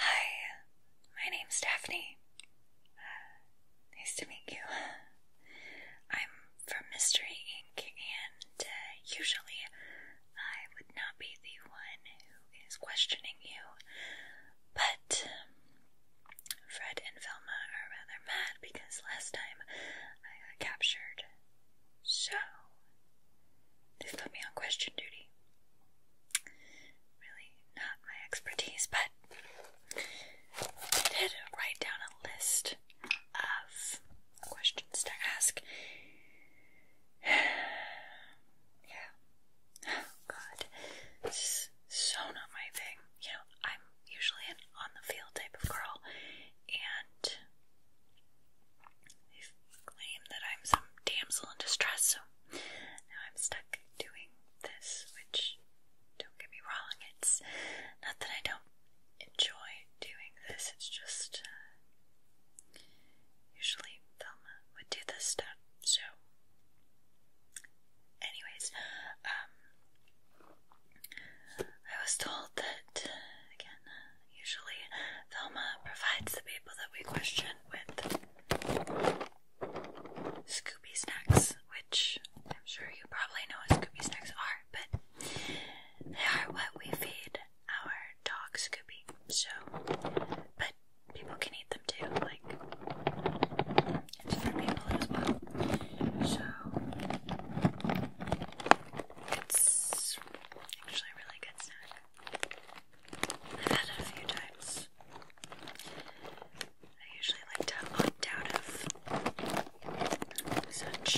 Hi, my name's Daphne. Uh, nice to meet you. I'm from Mystery Inc., and uh, usually I would not be the one who is questioning you, but um, Fred and Velma are rather mad because last time I got captured so, this put me on question duty. Really not my expertise, but I did write down a list of questions to ask. yeah. God. This is so not my thing. You know, I'm usually an on the field type of girl, and they claim that I'm some damsel in distress, so now I'm stuck doing this, which, don't get me wrong, it's not that I don't enjoy doing this, it's just uh, usually Velma would do this stuff, so. Anyways, um, I was told that, again, uh, Usually, Velma provides the people that we question with Scooby snacks, which I'm sure you probably know what Scooby snacks are, but they are what we feed our dog Scooby. So, but people can eat them too, like it's for people as well. So it's actually a really good snack. I've had it a few times. I usually like to opt out of such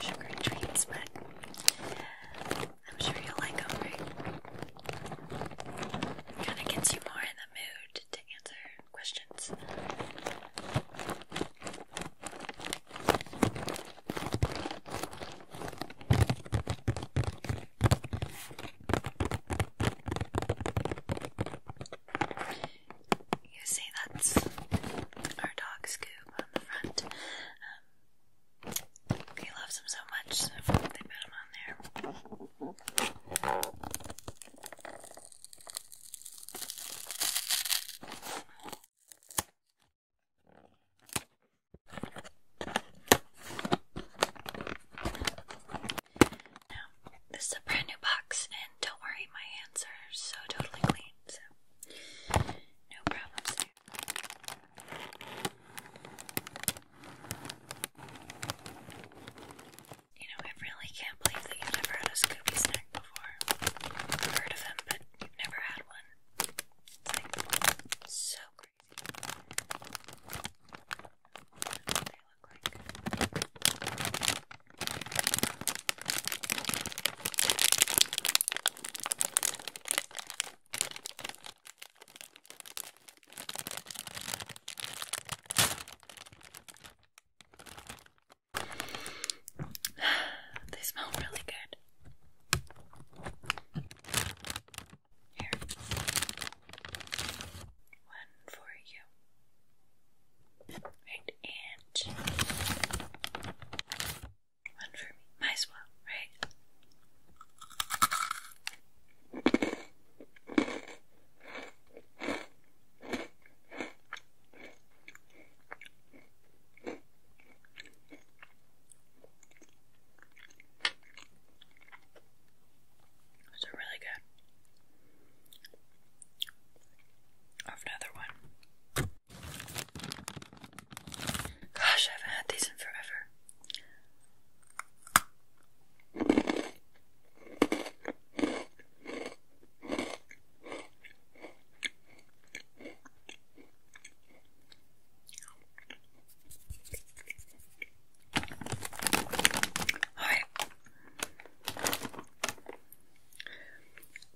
sugary treats, but I'm sure you'll like them, right? Kind of gets you more in the mood to answer questions. You see, that's our dog Scoob on the front. Um, he loves him so much, they put him on there this is a brand new box, and don't worry, my hands are so totally clean, so no problems You know, I really can't believe that you've never had a Scooby snack before. heard of them, but you've never had one. Like, so crazy. That's what they look like. they smell really good. Here. One for you. Right, and one for me. Might as well, right? Those are really good. have another one. Gosh, I haven't had these in forever. Alright.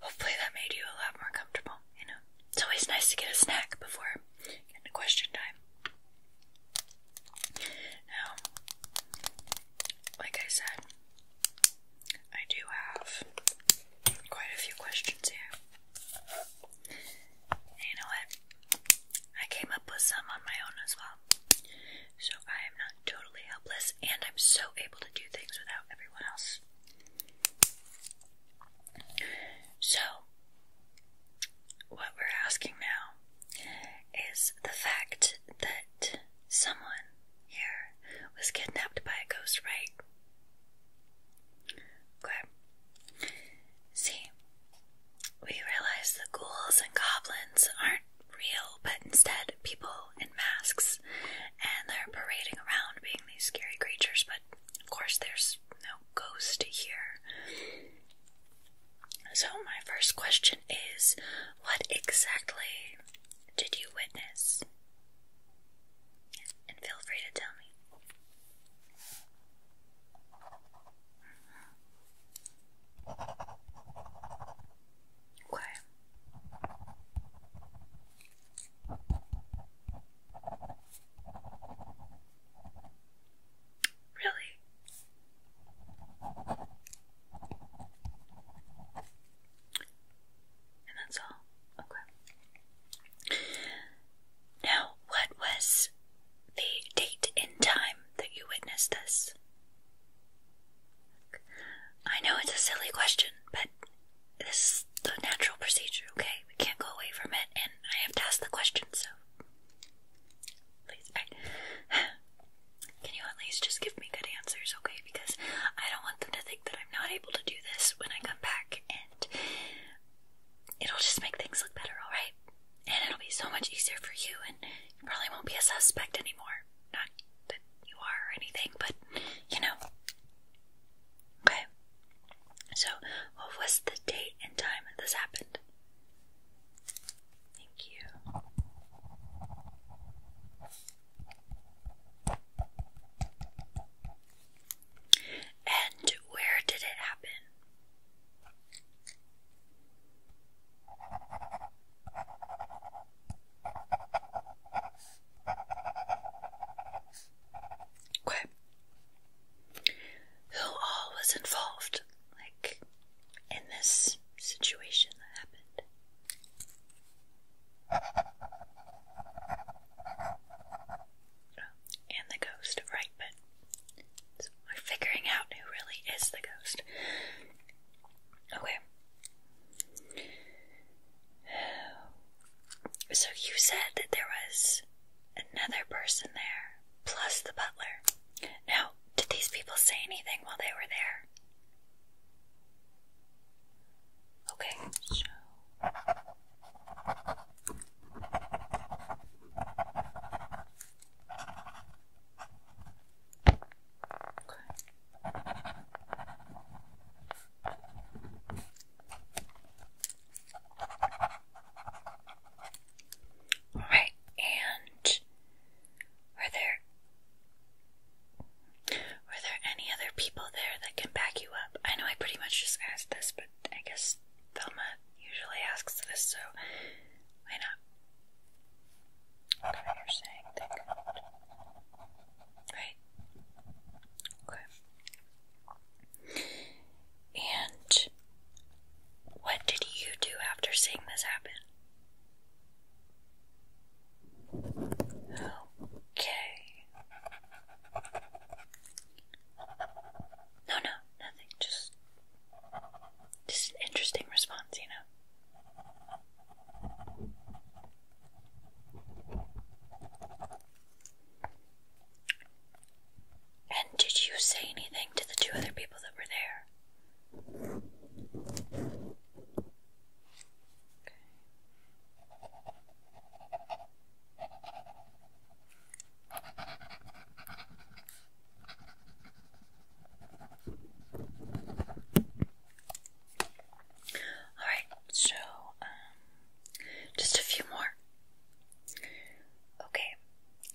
Hopefully that made you a lot more comfortable, you know. It's always nice to get a snack before question time. Now, like I said, I do have quite a few questions here you know what? I came up with some on my own as well. So I am not totally helpless and I'm so able to do things without everyone else. So, what we're asking now is the fact that someone here was kidnapped by a ghost, right? Okay. See, we realize the ghouls and goblins aren't real, but instead people in masks, and they're parading around being these scary creatures, but of course there's no ghost here. So, my first question is what exactly did you witness? and feel free to tell me. Mm Really? and that's all. Okay. Now, what was the date and time that you witnessed this? I know it's a silly question, but this is the natural procedure, okay? We can't go away from it, and I have to ask the question, so. Please, can you at least just give me good answers, okay? Because I don't want them to think that I'm not able to do this when I come back, it'll just make things look better, alright? And it'll be so much easier for you, and you probably won't be a suspect anymore. Not that you are or anything, but you know. Okay. So, what was the date and time that this happened? Thank you. And where did it happen? Who all was involved, like, in this situation that happened? And the ghost, right, but we're figuring out who really is the ghost. Okay. So you said that there was another person there, plus the butler. Now, did these people say anything while they were there? Okay, so okay. All right, and are there were there any other people there that can back you up? I know I pretty much just asked this, but I guess Thelma usually asks this, so why not? Okay, you're saying that. Right. Okay. And what did you do after seeing this happen? Okay. No, no, nothing. Just, just an interesting response, you know. And did you say anything to the two other people that were there? All right, so um, just a few more. Okay,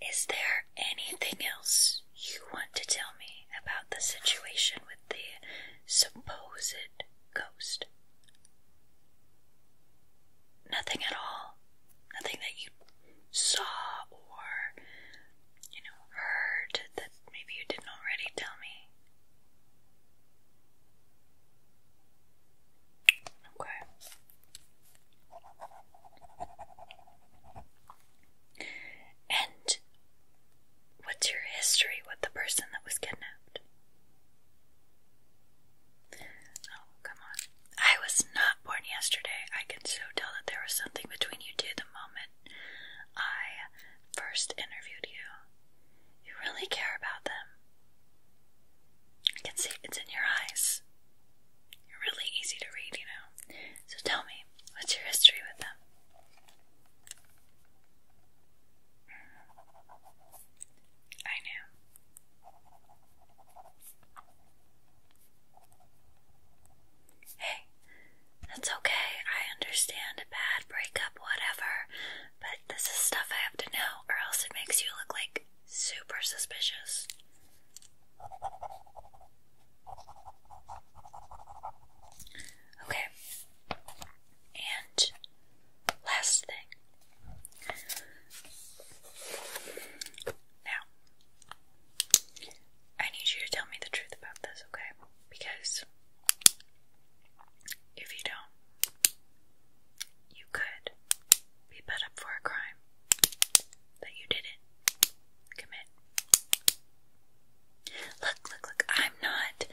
is there anything else you want to tell me about the situation with the supposed ghost? nothing at all. Nothing that you saw or, you know, heard that maybe you didn't already tell me. Okay. And What's your history with the person that was kidnapped? Oh, come on. I was not born yesterday. I can so tell that there was something between you two the moment I first interviewed you. You really care about them. I can see it's in your eyes. You're really easy to read, you know. So tell me, what's your history with them? I know. Hey, that's okay. I understand a bad breakup, whatever, but this is stuff I have to know, or else it makes you look like super suspicious. Okay. And last thing. Now, I need you to tell me the truth about this, okay? Because if you don't, you could be put up for a crime that you didn't commit. Look, look, look, I'm not,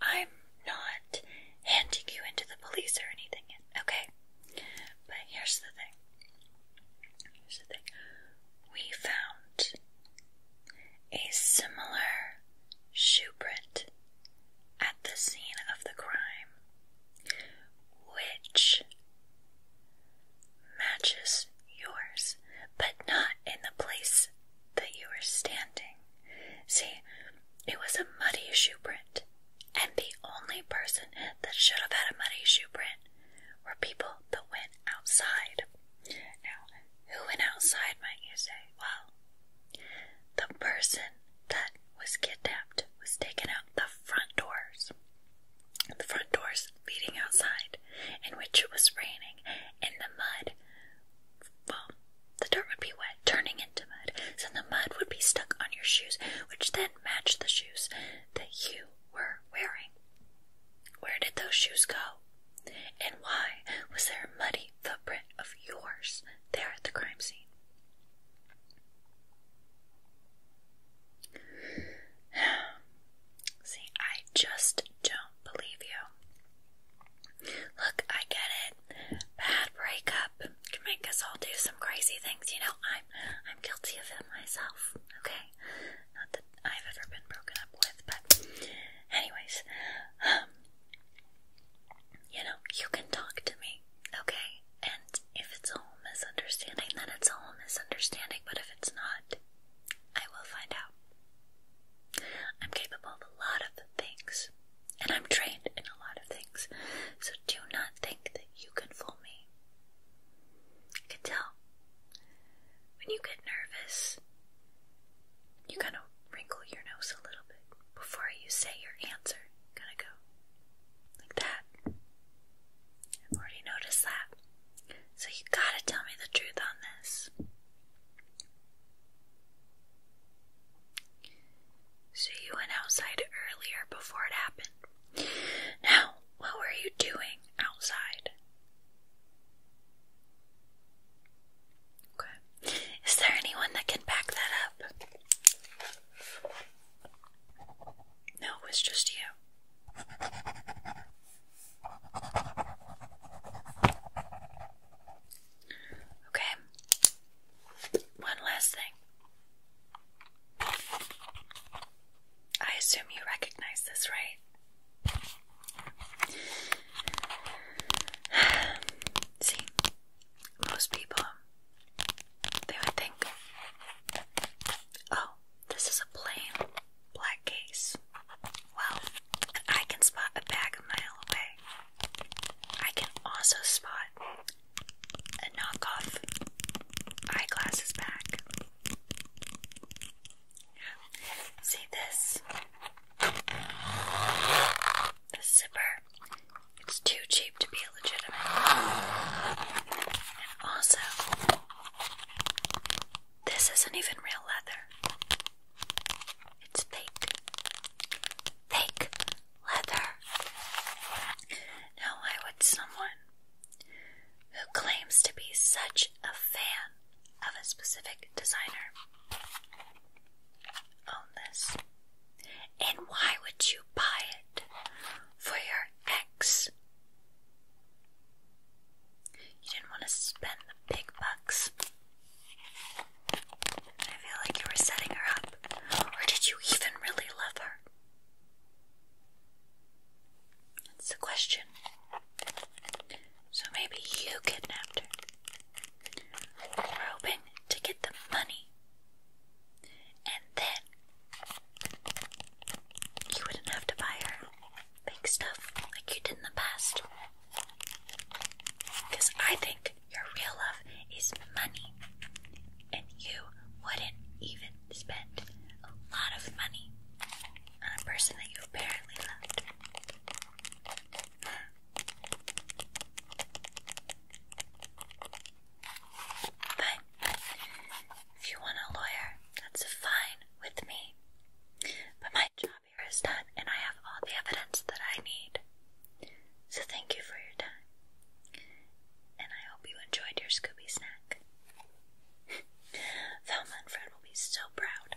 I'm not handing you into the police or anything, okay? But here's the thing. Here's the thing. We found a similar shoe print at the scene of the crime, which matches yours, but not in the place that you were standing. See, it was a muddy shoe print, and the only person that should have had a muddy shoe print were people that went outside. Now, who went outside, might you say? Well, the person that was kidnapped was taken out the front doors, the front doors leading outside, in which it was raining, in the mud well, the dirt would be wet, turning into mud. So the mud would be stuck on your shoes, which then matched the shoes that you were wearing. Where did those shoes go? And why was there a muddy footprint of yours there at the crime scene? See, I just don't believe you. Look, I get it. Bad breakup can make us all do some crazy things. You know, I'm I'm guilty of it myself. Okay, not that I've ever been broken up with, but anyways, um, you know, you can talk to me. Okay, and if it's all misunderstanding, then it's all misunderstanding. But if it's not, I will find out. I'm capable of a lot of things and I'm trained in a lot of things, so do not think that you can fool me. I can tell when you get nervous, you kind of wrinkle your nose a little bit before you say your answer. Gonna go like that. I've already noticed that. So you gotta tell me the truth on this. So you went outside earlier before it happened. Now, what were you doing outside? Okay. Is there anyone that can back that up? No, it was just you. Okay. One last thing. I assume you recognize this, right? See, most people they would think, "Oh, this is a plain black case." Well, I can spot a bag a mile away. I can also spot a knockoff eyeglasses bag. See this? The zipper. It's too cheap to be legitimate. And also, this isn't even real leather. It's fake, thick leather. Now, why would someone who claims to be such a fan of a specific designer own this? And why would you buy it for your ex? You didn't want to spend the big bucks. I feel like you were setting her up. Or did you even really love her? That's the question. So maybe you kidnapped her, hoping to get the money, and then you wouldn't have to buy her big stuff like you did in the past. Because I think your real love is money, and you wouldn't even spend a lot of money on a person that you apparently loved. But if you want a lawyer, that's fine with me. But my job Amir is and I have all the evidence that I need. So thank you for your time, and I hope you enjoyed your Scooby snack. Velma and Fred will be so proud.